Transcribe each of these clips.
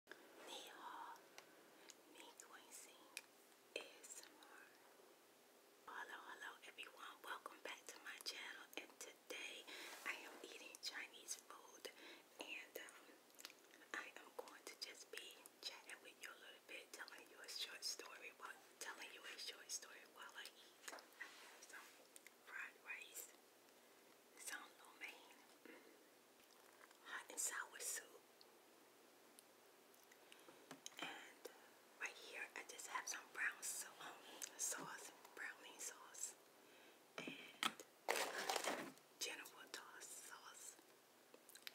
Nihal, Nikuising ASMR. Hello, hello everyone. Welcome back to my channel. And today I am eating Chinese food. And um, I am going to just be chatting with you a little bit, telling you a short story while telling you a short story while I eat. fried rice, some lo hot and sour soup. And uh, right here, I just have some brown um, sauce, brownie sauce, and Jennifer uh, Toss sauce.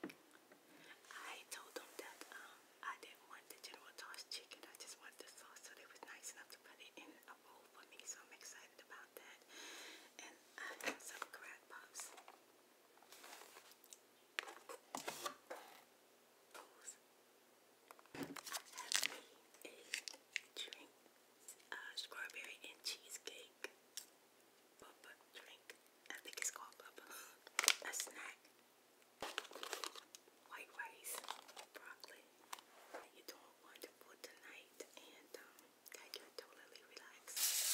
I told them that um, I didn't want the General Toss chicken. I just wanted the sauce, so they was nice enough to put it in a bowl for me. So I'm excited about that and some crack pops. I have a drink, strawberry and cheesecake bubba drink. I think it's called bubba. A snack, white rice, broccoli. You doing wonderful tonight, and that you're totally relaxed.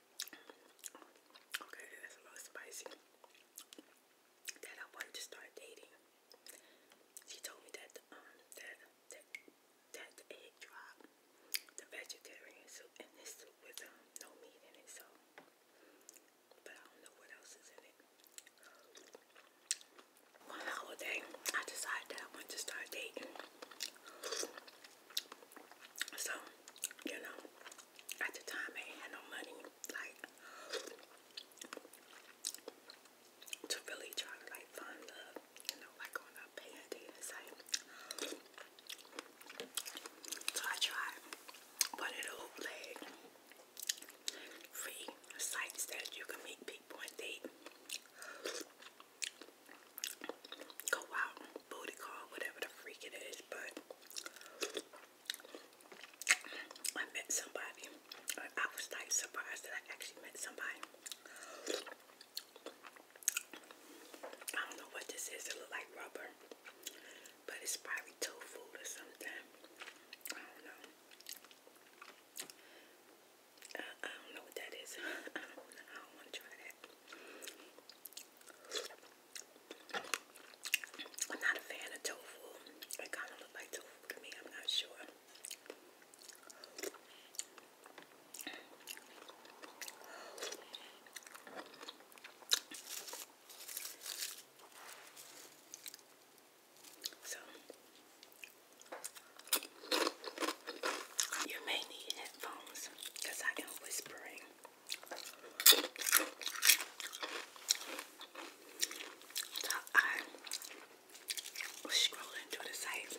Okay, that's a little spicy. That I wanted to start dating. She told me that um that that that egg drop, the vegetarian soup, and this soup with um no meat in it. So, but I don't know what else is in it. One holiday, I decided I wanted to start dating. So, you know, at the time I had no money like to really try to like find love, you know, like on a paying date and so I tried one of those leg free sites that you can meet people and date. Go out booty call, whatever the freak it is, but I met somebody. I was like surprised that I actually met somebody. I don't know what this is. It look like rubber, but it's probably tofu or something. I don't know. I, don't know what that is. I don't, I want to try that. I'm not a fan of tofu. It kind of looks like tofu to me. I'm not sure. So, you may need headphones because I am whispering. So I was scrolling the site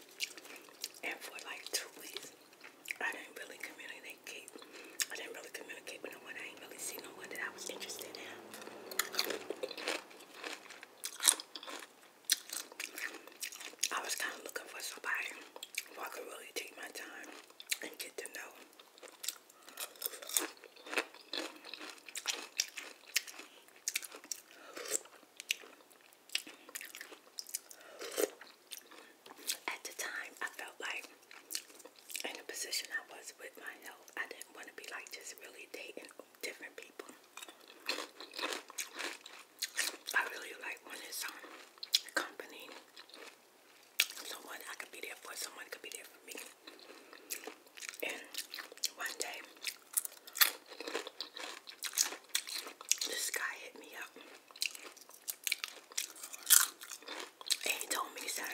and for like two weeks I didn't really communicate. I didn't really communicate with no one. I ain't really see no one that I was interested in. I was kind of looking for somebody who I could really take my time and get to know. At the time, I felt like in the position I was with my health, I didn't want to be like just really dating different people. I really like when it's on company someone I could be there for, someone could be there for me. And one day, this guy hit me up. And he told me, son,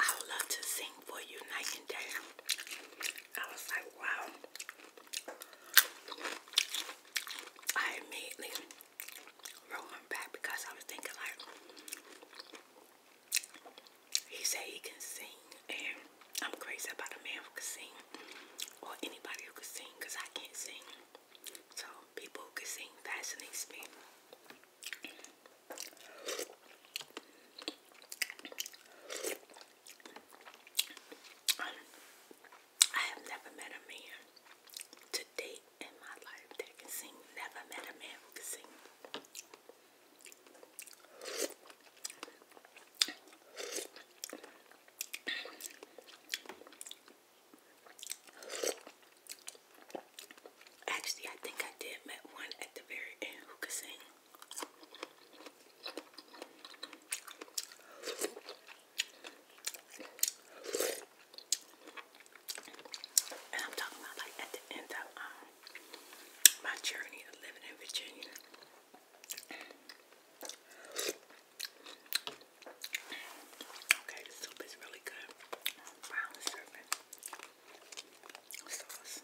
I would love to sing for you night and day. I was like, wow. I immediately rolled back because I was thinking like he said he can sing and I'm crazy about a man who can sing or anybody who can sing because I can't sing. So people who can sing fascinates me. I have never met a man to date in my life that can sing. Never met a man who can sing. Actually, I think I did met one at the very end who could sing. And I'm talking about like at the end of um, my journey of living in Virginia. Okay, the soup is really good. Brown serving sauce.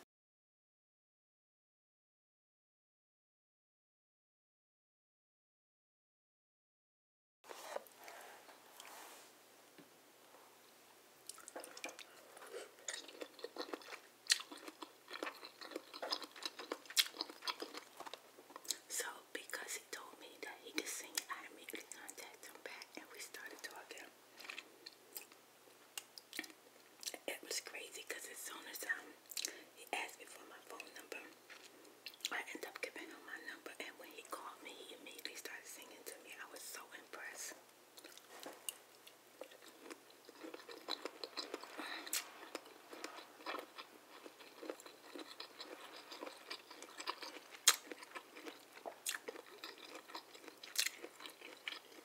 So, because he told me that he could sing, I immediately contacted back and we started talking. It was crazy because as soon as um, he asked me for my phone number, I ended up giving him my number. And when he called me, he immediately started singing to me. I was so impressed.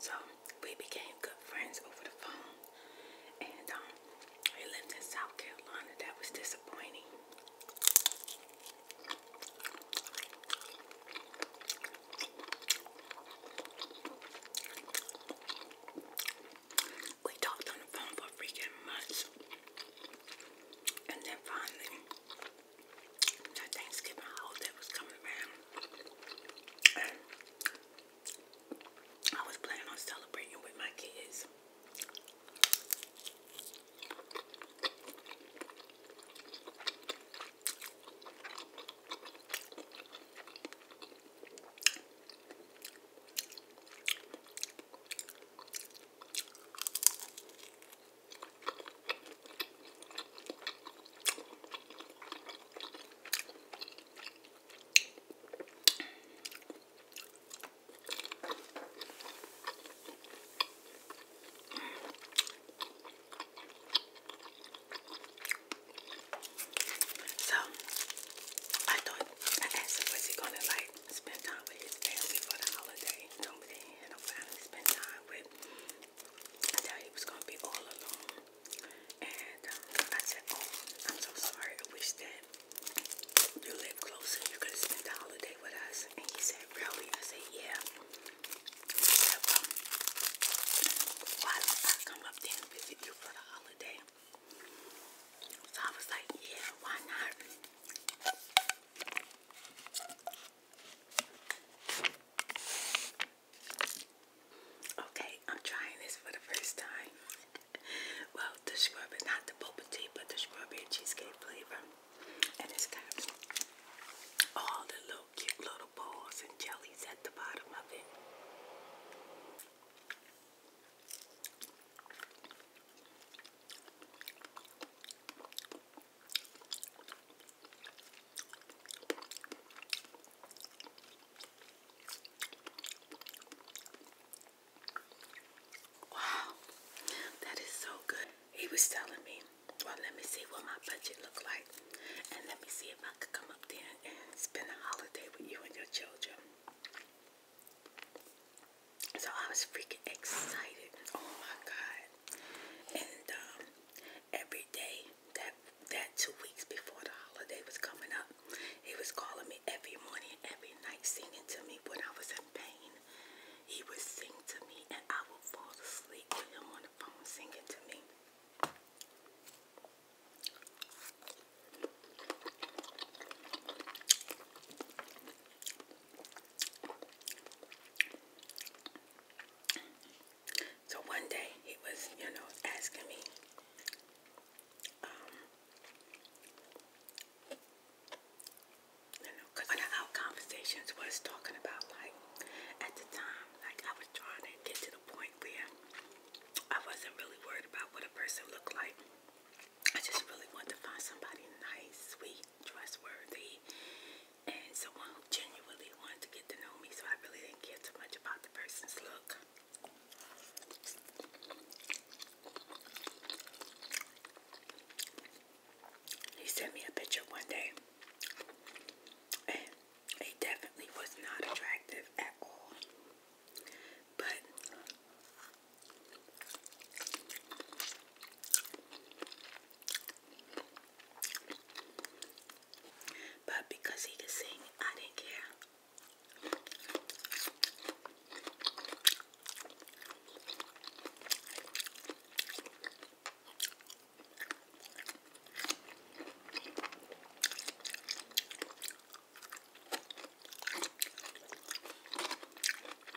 So we became good friends over the phone, and um, we lived in South Carolina. That was disappointing. We talked on the phone for freaking months. And then finally, the Thanksgiving holiday was coming around. I was planning on celebrating with my kids. So I thought I asked him was he gonna like spend time with his family for the holiday. Told me they had finally spend time with. I thought he was gonna be all alone, and um, I said, "Oh, I'm so sorry. I wish that you live closer. You could have spent the holiday with us." And he said, "Really?" I said, "Yeah." He said, well, I come up there and visit you for the holiday? So I was like, yeah, why not? Okay, I'm trying this for the first time. well, the scrub is not the boba tea, but the strawberry cheesecake flavor. And it's got all the little cute little balls and jellies at the bottom of it. Wow, that is so good. He was telling me, well, let me see what my budget looked like, and let me see if I could come up there and spend a holiday with you and your children. So I was freaking excited. Oh my god. And um, every day that that two weeks before the holiday was coming up, he was calling me every morning, every night, singing to me when I was in pain. He would sing to me and I would fall asleep with him on the phone singing to me. So one day he was, you know, asking me, um, you know, because one of our conversations was talking about, like, at the time, like, I was trying to get to the point where I wasn't really worried about what a person looked like. I just really want to find somebody nice, sweet, trustworthy, and someone who genuinely wanted to get to know me. So I really didn't care too much about the person's look. He sent me a picture one day, and he definitely was not attractive at all. But but because he could sing, I didn't care.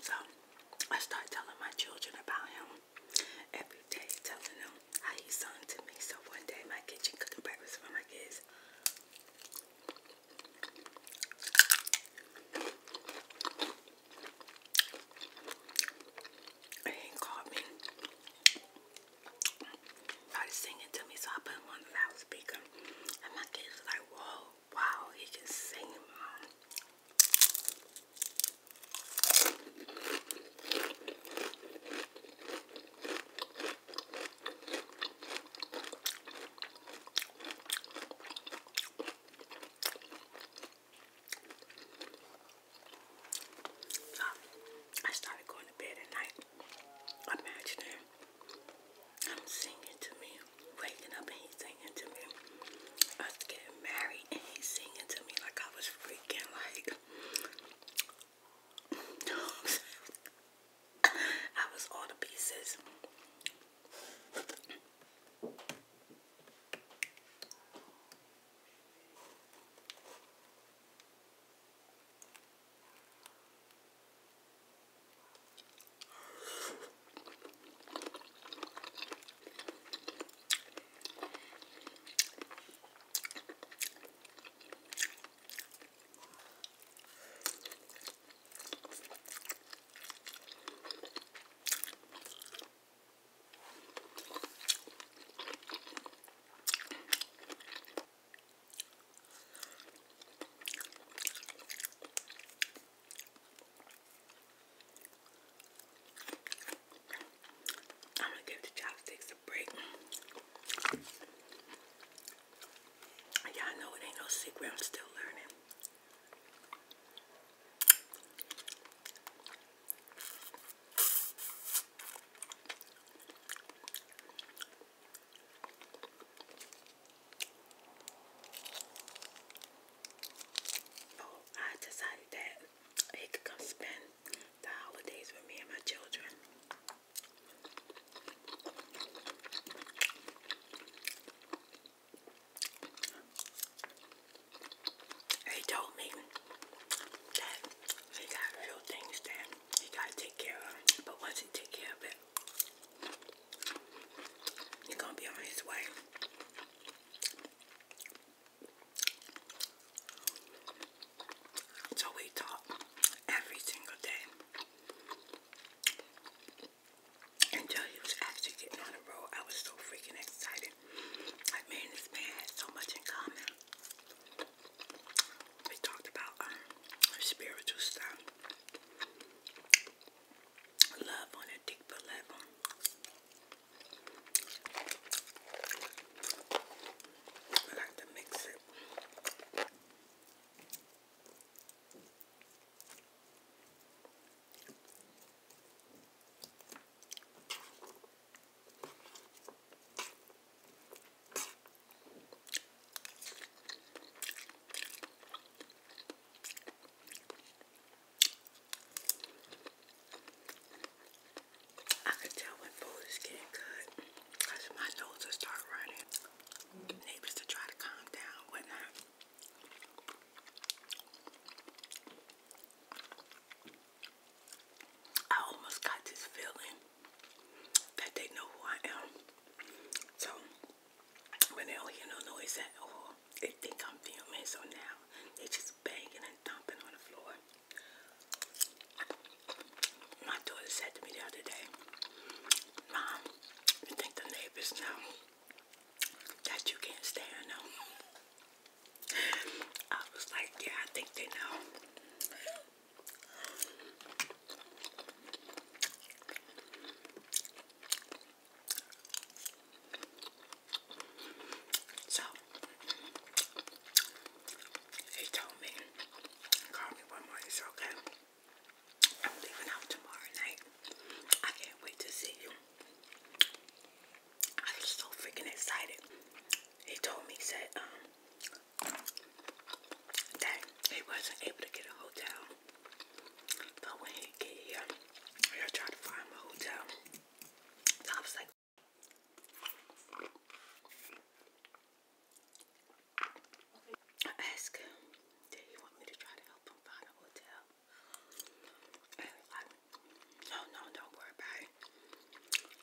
So I start telling my children about him every day, telling them how he's son to me. So one day my kitchen cooking breakfast for my kids. It ain't caught me. Started singing to me, so I put on the loudspeaker. And my kids were like, whoa, wow, he can sing, um, I started going to bed at night, imagining I'm singing to me, waking up and he's singing to me, us getting married and he's singing to me like I was freaking like. I was all the pieces. I'm gonna give the chopsticks a break. Y'all know it ain't no secret, I'm still learning. Oh, I decided that he could come spend the holidays with me and my children. He told me that he got real things that he got to take care of. But once he take care of it, he's going to be on his way. So we talk every single day until he actually getting on the road. I was so freaking excited. I mean, this man had so much in common. We talked about um, spiritual stuff, love on a deeper level. I like to mix it. I can tell when food is getting good because my nose will start neighbors to try to calm down, whatnot. I almost got this feeling that they know who I am. So when they don't hear no noise at all, they think I'm filming. So now they just banging and thumping on the floor. My daughter said to me the other day, Mom, you think the neighbors know that you can't stand them? I was like, yeah, I think they know. So he told me, call me one morning, it's okay. I'm leaving out tomorrow night. I can't wait to see you. I'm so freaking excited. He told me, he said, um, that he wasn't able to get a hotel. But when he get here, we will trying to find a hotel. So I was like, I asked him, did he want me to try to help him find a hotel? no, no, don't worry about it.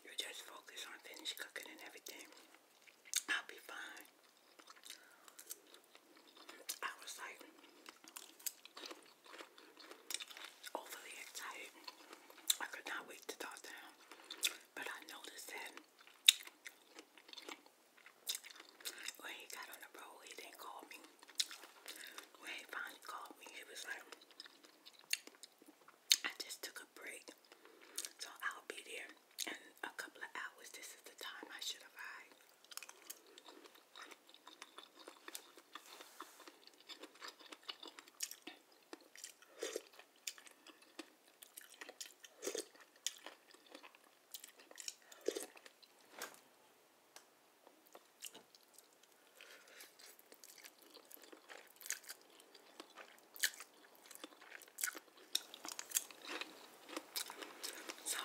You just focus on finish cooking and everything. I'll be fine. I was like, overly excited. I could not wait to talk to him. But I noticed that when he got on the road, he didn't call me. When he finally called me, he was like, I just took a break. So I'll be there in a couple of hours. This is the time I should arrive. So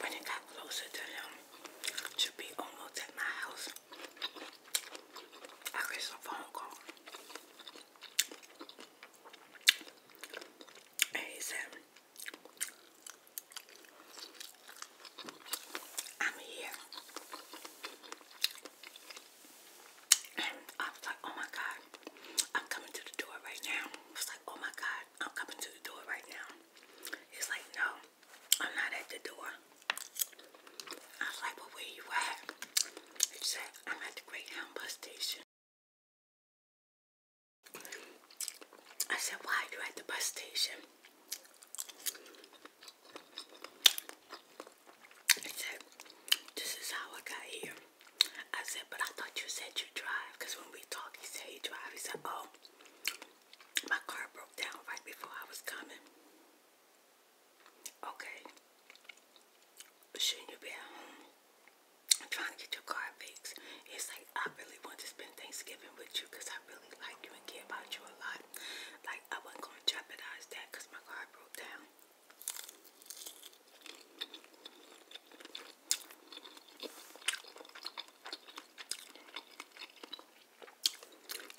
when it got closer to them to be almost at my house, I get a phone call. He said, I'm here. I was like, oh my God, I'm coming to the door right now. I was like, oh my God, I'm coming to the door right now. He's like, no, I'm not at the door. I was like, well, where you at? He said, I'm at the Greyhound bus station. I said, why are you at the bus station? He said, this is how I got here. I said, but I thought you said you drive. Because when we talked, he said he drive. He said, oh, my car broke down right before I was coming. Okay. should you be home? I'm trying to get your car fixed. It's like, I really want to spend Thanksgiving with you because I really like you and care about you a lot. Like, I wasn't going to jeopardize that because my car broke down.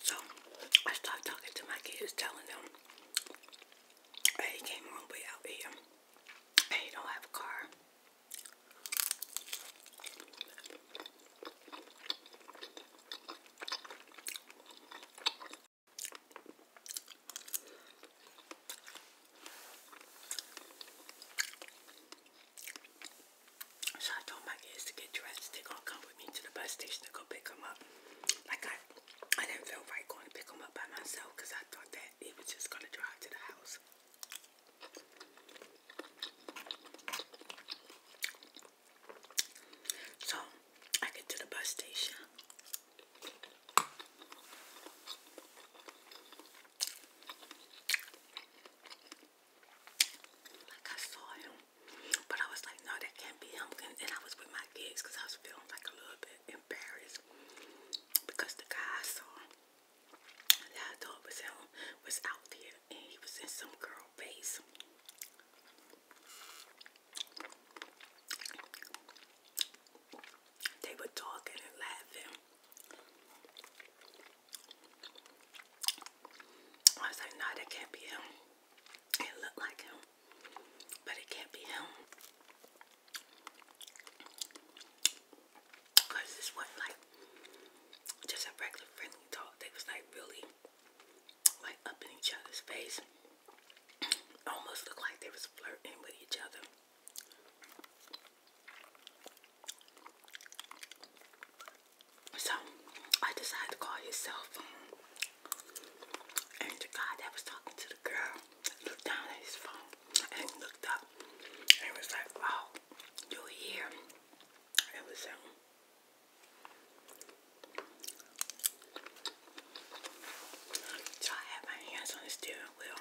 So, I started talking to my kids, telling them, hey, you came a long way out here and you don't have a car. So I told my kids to get dressed. They're gonna come with me to the bus station to go pick them up. Like I, I didn't feel right going to pick them up by myself I thought that that was just gonna drive to the house. So I get to the bus station. Like I saw him, but I was like, no, that can't be him. And I was with my kids I was feeling like a little bit embarrassed because the guy I saw that I was out, there and he was in some girl face. They were talking and laughing. I was no, nah, can't be him. It looked like him, but it can't be him. Cause this wasn't like just a regular friendly talk. They was like really like up in each other's face. Almost looked like they was flirting with each other. So I decided to call his cell phone. And the that was talking to the girl looked down at his phone and looked up and was like, "Oh, you're here." It was him. Um, so I had my hands on the steering wheel,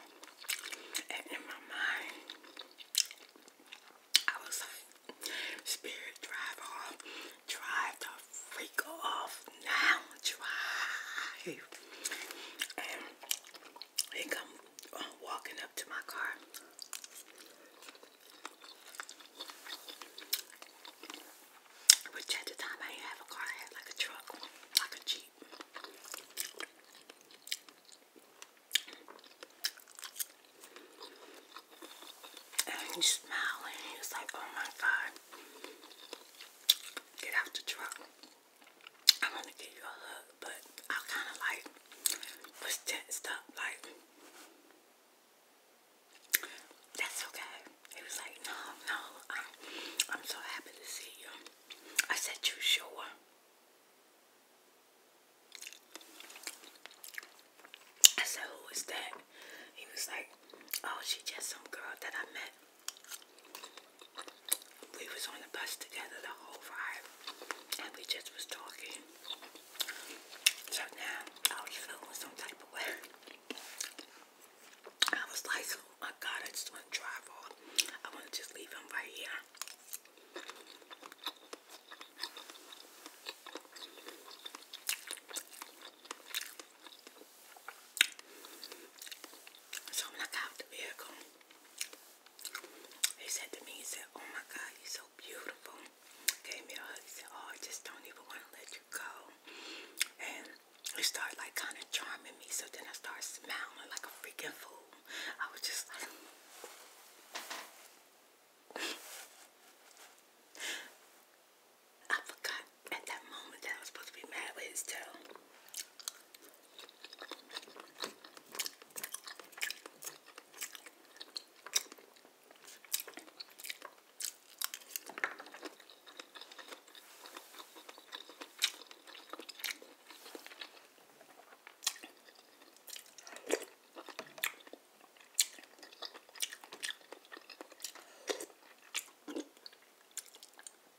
and in my mind, I was like, "Spirit, drive off, drive the freak off now, drive." And they come uh, walking up to my car. Which at the time I didn't have a car, I had like a truck, like a Jeep. And he smiled and he was like, oh my God, get out the truck. I want to give you a hug, but I kind of like was tensed up, like, that's okay. He was like, no, no, I'm so happy to see you. I said, you sure? I said, who is that? He was like, oh, she just some girl that I met we was on the bus together the whole ride, and we just was talking. So now I was feeling some type of way. I was like, oh my God, I just want to drive off. I want to just leave him right here. So I'm like out the vehicle, he said to me, he said, oh my God, you're so beautiful. Gave me a hug, he said, oh, I just don't even want to let you go. And he started like kind of charming me. So then I started smiling like a freaking fool. I was just like, I forgot at that moment that I was supposed to be mad with his tail. I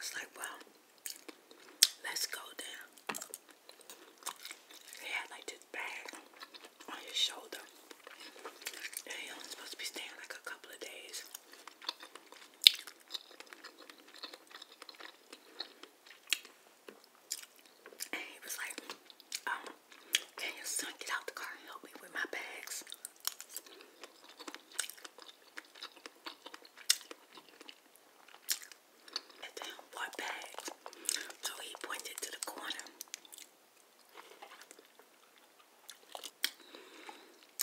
was like, well, let's go down. He had like this bag on his shoulder. And you're supposed to be staying like a couple of days. And he was like, um, can your son get out the car and help me with my bags? what bags? So he pointed to the corner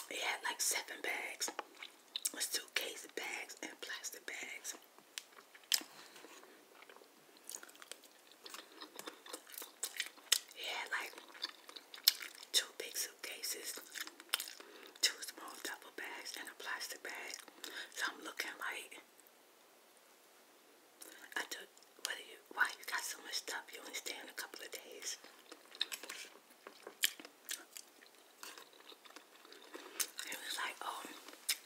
it had like seven bags. It was suitcase bags and plastic bags. It had like two big suitcases, two small double bags, and a plastic bag. So I'm looking like I took why you got so much stuff? You only stay in a couple of days. It was like, oh,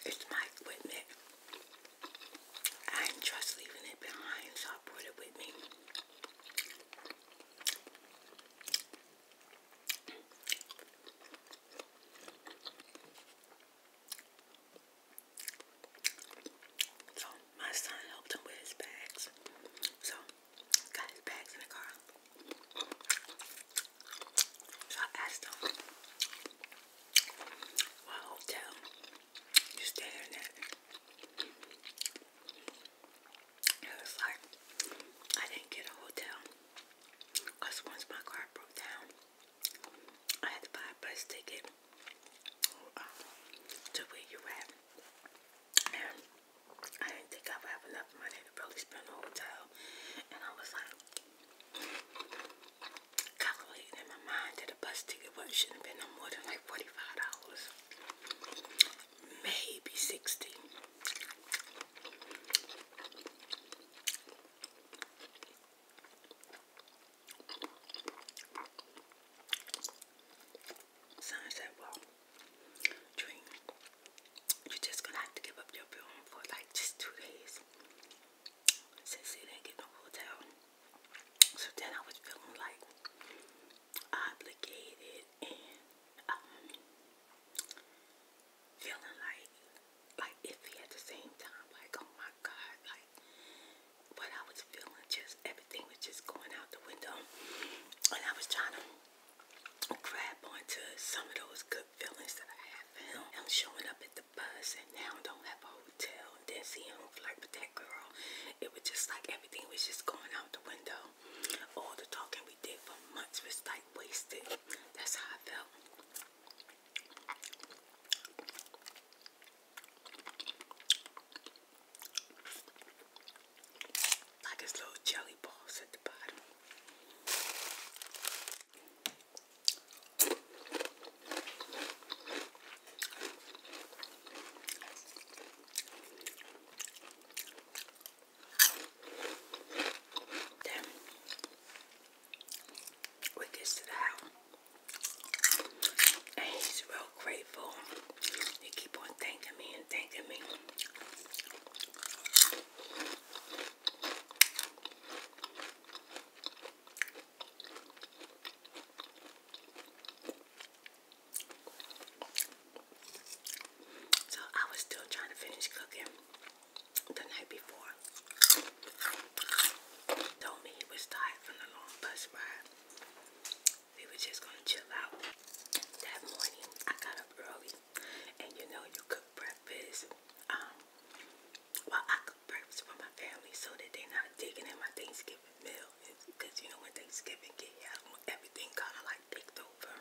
it's my equipment. I didn't trust leaving it behind, so I brought it with me. So my son helped him with his bags. So got his bags in the car. So I asked him, what hotel you staying at? It was like, I didn't get a hotel. Because once my car broke down, I had to buy a bus ticket to where you at. And I didn't think I would have enough money to really spend on hotel. And I was like, calculating in my mind that a bus ticket should have been no more than like $45. Maybe 60 Son said, well, Dream, you're just gonna have to give up your room for like just two days since you didn't get no hotel. So then I was feeling like obligated and um, feeling like like iffy at the same time. Like, oh my God, like like I was feeling, just everything was just going out the window. And I was trying to grab onto some of those good feelings that I had for him. Him showing up at the bus and now I don't have a hotel and then see him flirt with that girl. It was just like everything was just going out the window. All the talking we did for months was like wasted. That's how I felt. Like his little jelly balls at the bottom. Then we get to the house. And he's real grateful. He keep on thanking me and thanking me. So I was still trying to finish cooking the night before. told me he was tired from the long bus ride we were just gonna chill out. That morning, I got up early, and you know, you cook breakfast. Um, while I cook breakfast for my family so that they're not digging in my Thanksgiving meal, because you know when Thanksgiving get here, I want everything kind of like picked over.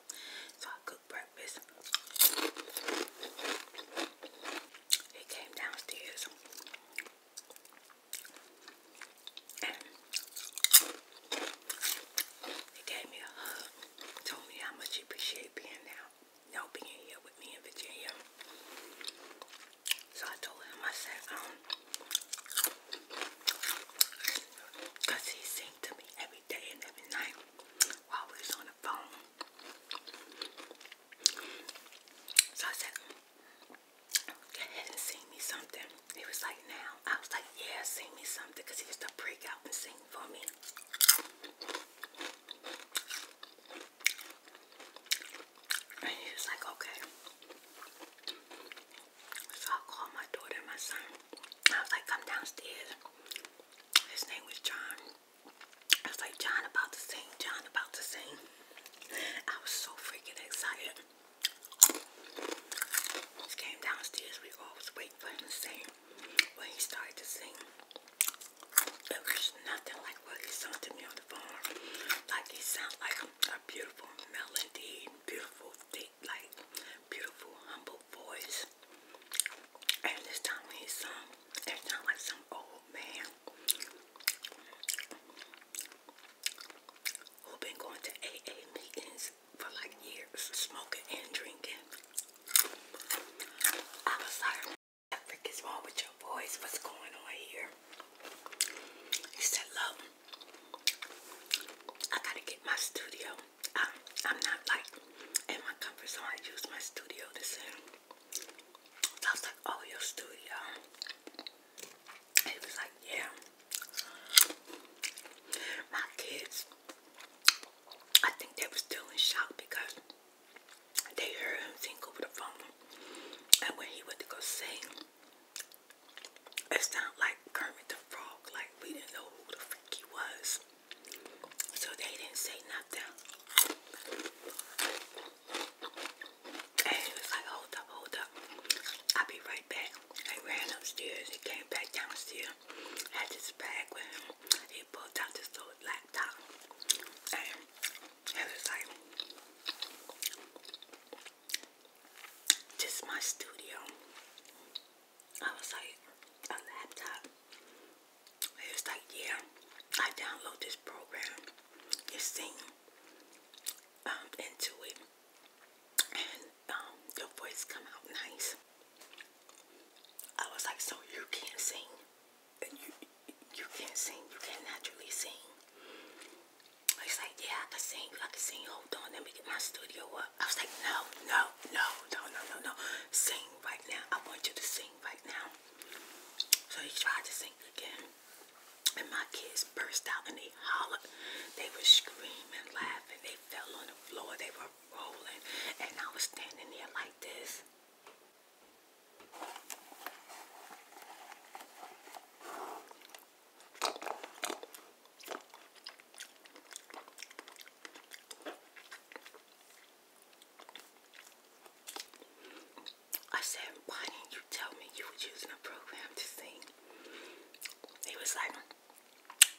So I cook breakfast. They came downstairs he gave me a hug, told me how much he appreciated being out, you know, being here with me in Virginia. So I told him, I said, um, he seemed to me every day and every night while we on the phone. So I said, ahead and sing me something. He was like, now. I was like, yeah, sing me something. Because he used to break out and sing for me. And he was like, okay. So I called my daughter my son. I was like, come downstairs. His name was John. I was like, John about to sing, John about to sing. I was so freaking excited. Just came downstairs, we all was waiting to sing. When he started to sing, it was nothing like what he sung me on the phone. Like he sounded like a beautiful melody, beautiful thick, like beautiful, humble voice. And this time when he sung, it sounded like some old man we have been going to AA meetings for like years, smoking and drinking. I was like, what the is wrong with your voice? What's going on here? He said, love, I gotta get my studio. I'm not like in my comfort zone. I use my studio to sing. I was like, oh, your studio. He was like, yeah. My kids, I think they were still in shock because they heard him sing over the phone. And when he went to go sing, it sounded like Kermit the Frog, like we didn't know who the freak he was. So they didn't say nothing. And he was like, hold up, hold up. I'll be right back. I ran upstairs. He came back downstairs. Had this bag with him. He pulled out this little laptop. And he was like, this is my studio. I was like, a laptop? He was like, yeah. I download this program. You sing. Um, into it and um, your voice come out nice. I was like, so you can't sing. You, you can't sing. You can naturally sing. I was like, yeah, I can sing. I can sing. Hold on. Let me get my studio up. I was like, no, no, no, no, no, no, no. Sing right now. I want you to sing right now. So he tried to sing again. And my kids burst out and they hollered. They were screaming, laughing. They fell on the floor. They were rolling. And I was standing there like this. I said, why didn't you tell me you were using a program to sing? He was like,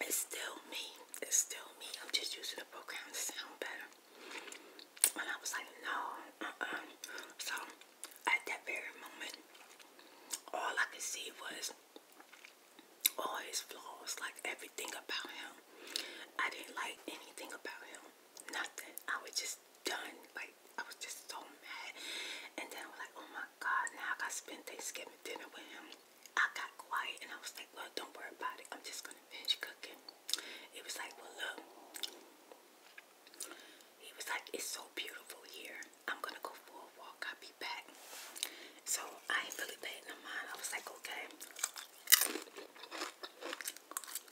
it's still me. It's still me. I'm just using a program to sound better. And I was like, no, uh-uh. So, at that very moment, all I could see was all his flaws, like everything about him. I didn't like anything about him. Nothing. I was just done. Like, I was just so mad. And then I was like, oh my god, now I gotta spend Thanksgiving dinner with him. I got quiet and I was like, well, don't worry about it. I'm just gonna finish cooking. It was like, well, look. He was like, it's so beautiful here. I'm gonna go for a walk. I'll be back. So I ain't really paying no mind. I was like, okay.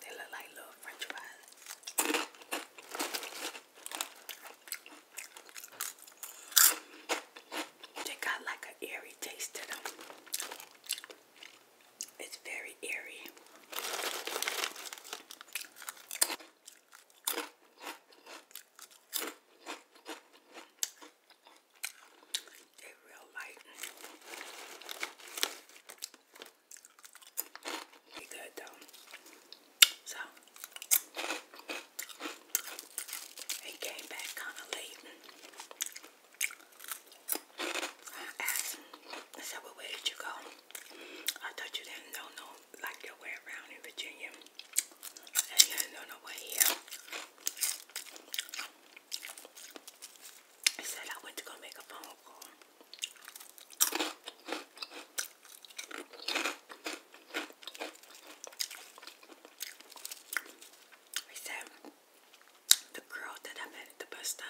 They look like little french fries. They got like an airy taste to them. It's very airy. They real light he came back kind of late. I asked him, I said, where did you go? I thought you didn't know, no, like your way around in Virginia. And you didn't know no way here. He said, I went to go make a phone call. I said the girl that I met at the bus stop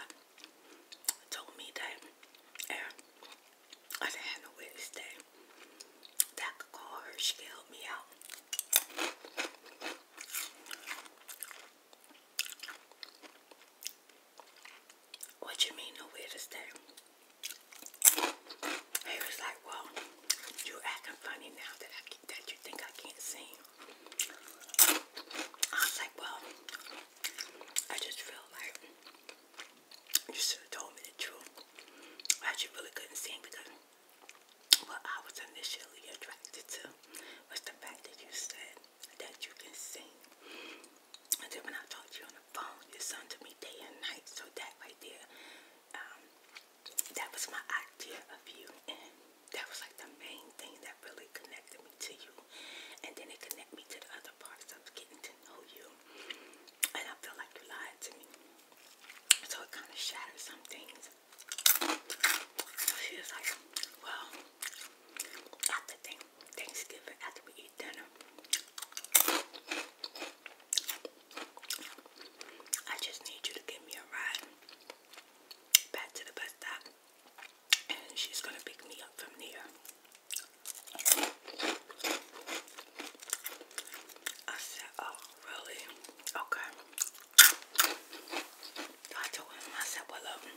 told me that and eh, I didn't have no to that that could call her. She could help me out. What you mean nowhere to stay? He was like, Well, you acting funny now that you think I can't sing. I was like, Well, I just feel like you should have told me the truth. I just really couldn't sing because what I was initially attracted to was the fact that you said that you can sing. And then when I talk to you on the phone, you listen to me day and night. So that right there, um, that was my idea of you. And that was like the main thing that really connected me to you. And then it connected me to the other parts of getting to know you. And I feel like you lied to me. So it kind of shattered some things. She was like, well, after Thanksgiving, after we eat dinner, I just need you to give me a ride back to the bus stop, and she's gonna pick me up from there. I said, "Oh, really? Okay." I told him, I said, "Well, um,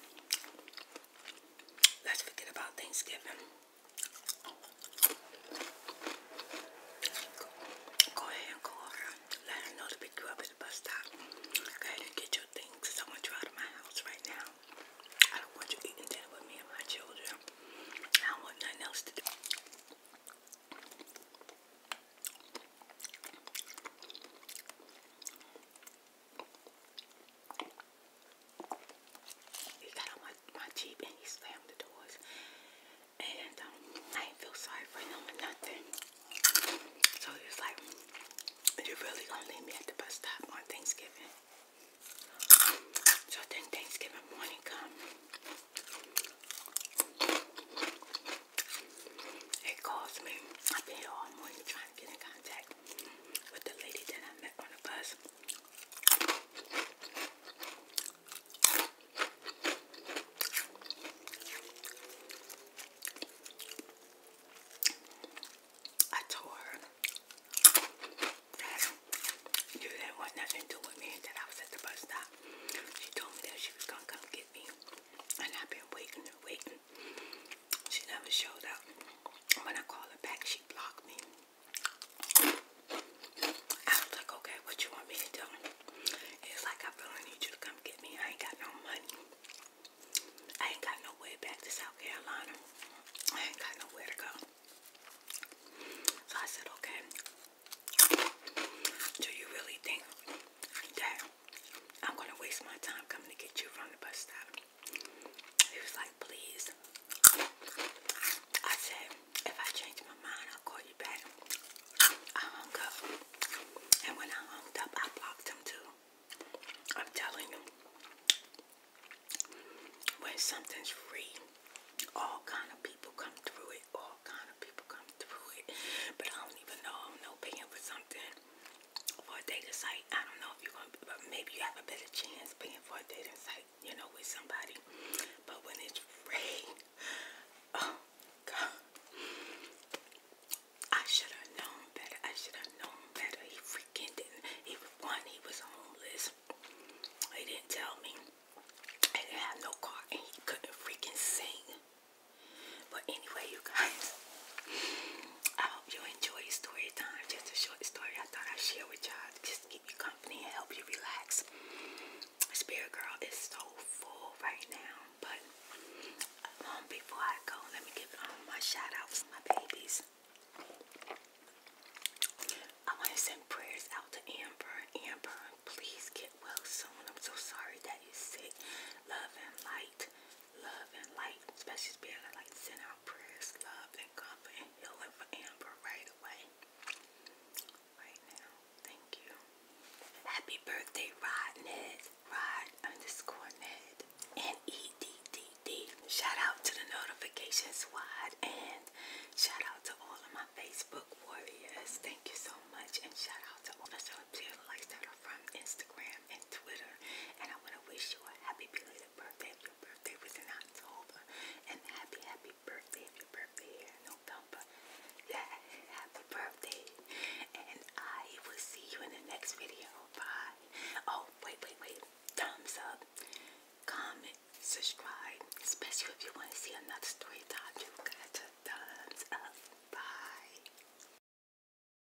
Let's forget about Thanksgiving. Go, ahead and call her. Let her know to pick you up at the bus stop. Go ahead and get your things because I want you out of my house right now. I don't want you eating dinner with me and my children. I want nothing else to do. He got on my, my Jeep and he slammed the doors. And um, I did feel sorry for him or nothing. So he like, you're really gonna leave me at the bus stop on Thanksgiving? So then Thanksgiving morning come. He calls me. I've been all morning trying to get in contact with the lady that I met on the bus. I told her you didn't want nothing to do with me that I was at the bus stop. She told me that she was gonna come get me, and I've been waiting and waiting. She never showed up. When I call her back, she blocked me. I was like, okay, what you want me to do? It's like, I really need you to come get me. I ain't got no money. I ain't got no way back to South Carolina. I ain't got nowhere to go. So I said, okay, do you really think that I'm going to waste my time coming to get you from the bus stop? He was like, please. I said, if I change my mind, I'll call you back. I hung up. And when I hung up, I blocked him too. I'm telling you, when something's free, all kind of people come through it. All kind of people come through it. But I don't even know I'm no paying for something for a dating site. I don't know if you're gonna, but maybe you have a better chance paying for a dating site, you know, with somebody. But when it's free, oh God, I should have known better. I should have known better. He freaking didn't. He was one. He was homeless. He didn't tell me. I didn't have no car, and he couldn't freaking sing. But anyway, you guys. I hope you enjoy story time. Just a short story I thought I'd share with y'all. Just keep you company and help you relax. Spirit Girl is so full right now, but um, before I go, let me give um, my shout outs to my babies. I want to send prayers out to Amber. Amber, please get well soon. I'm so sorry that you're sick. Love and light love and light, especially being able to like send out prayers, love and comfort and healing for Amber right away. Right now. Thank you. Happy birthday, Rod Ned. Rod underscore Ned. N-E-D-D-D. Shout out to the notification squad and shout out to all of my Facebook warriors. Thank you so much and shout out to all the media likes that are from Instagram and Twitter. And I want I wish you a happy birthday if your birthday was in October. And happy, happy birthday if your birthday here in November. Yeah, happy birthday. And I will see you in the next video. Bye. Oh, wait, wait, wait. Thumbs up, comment, subscribe, especially if you want to see another story time. You got to thumbs up. Bye.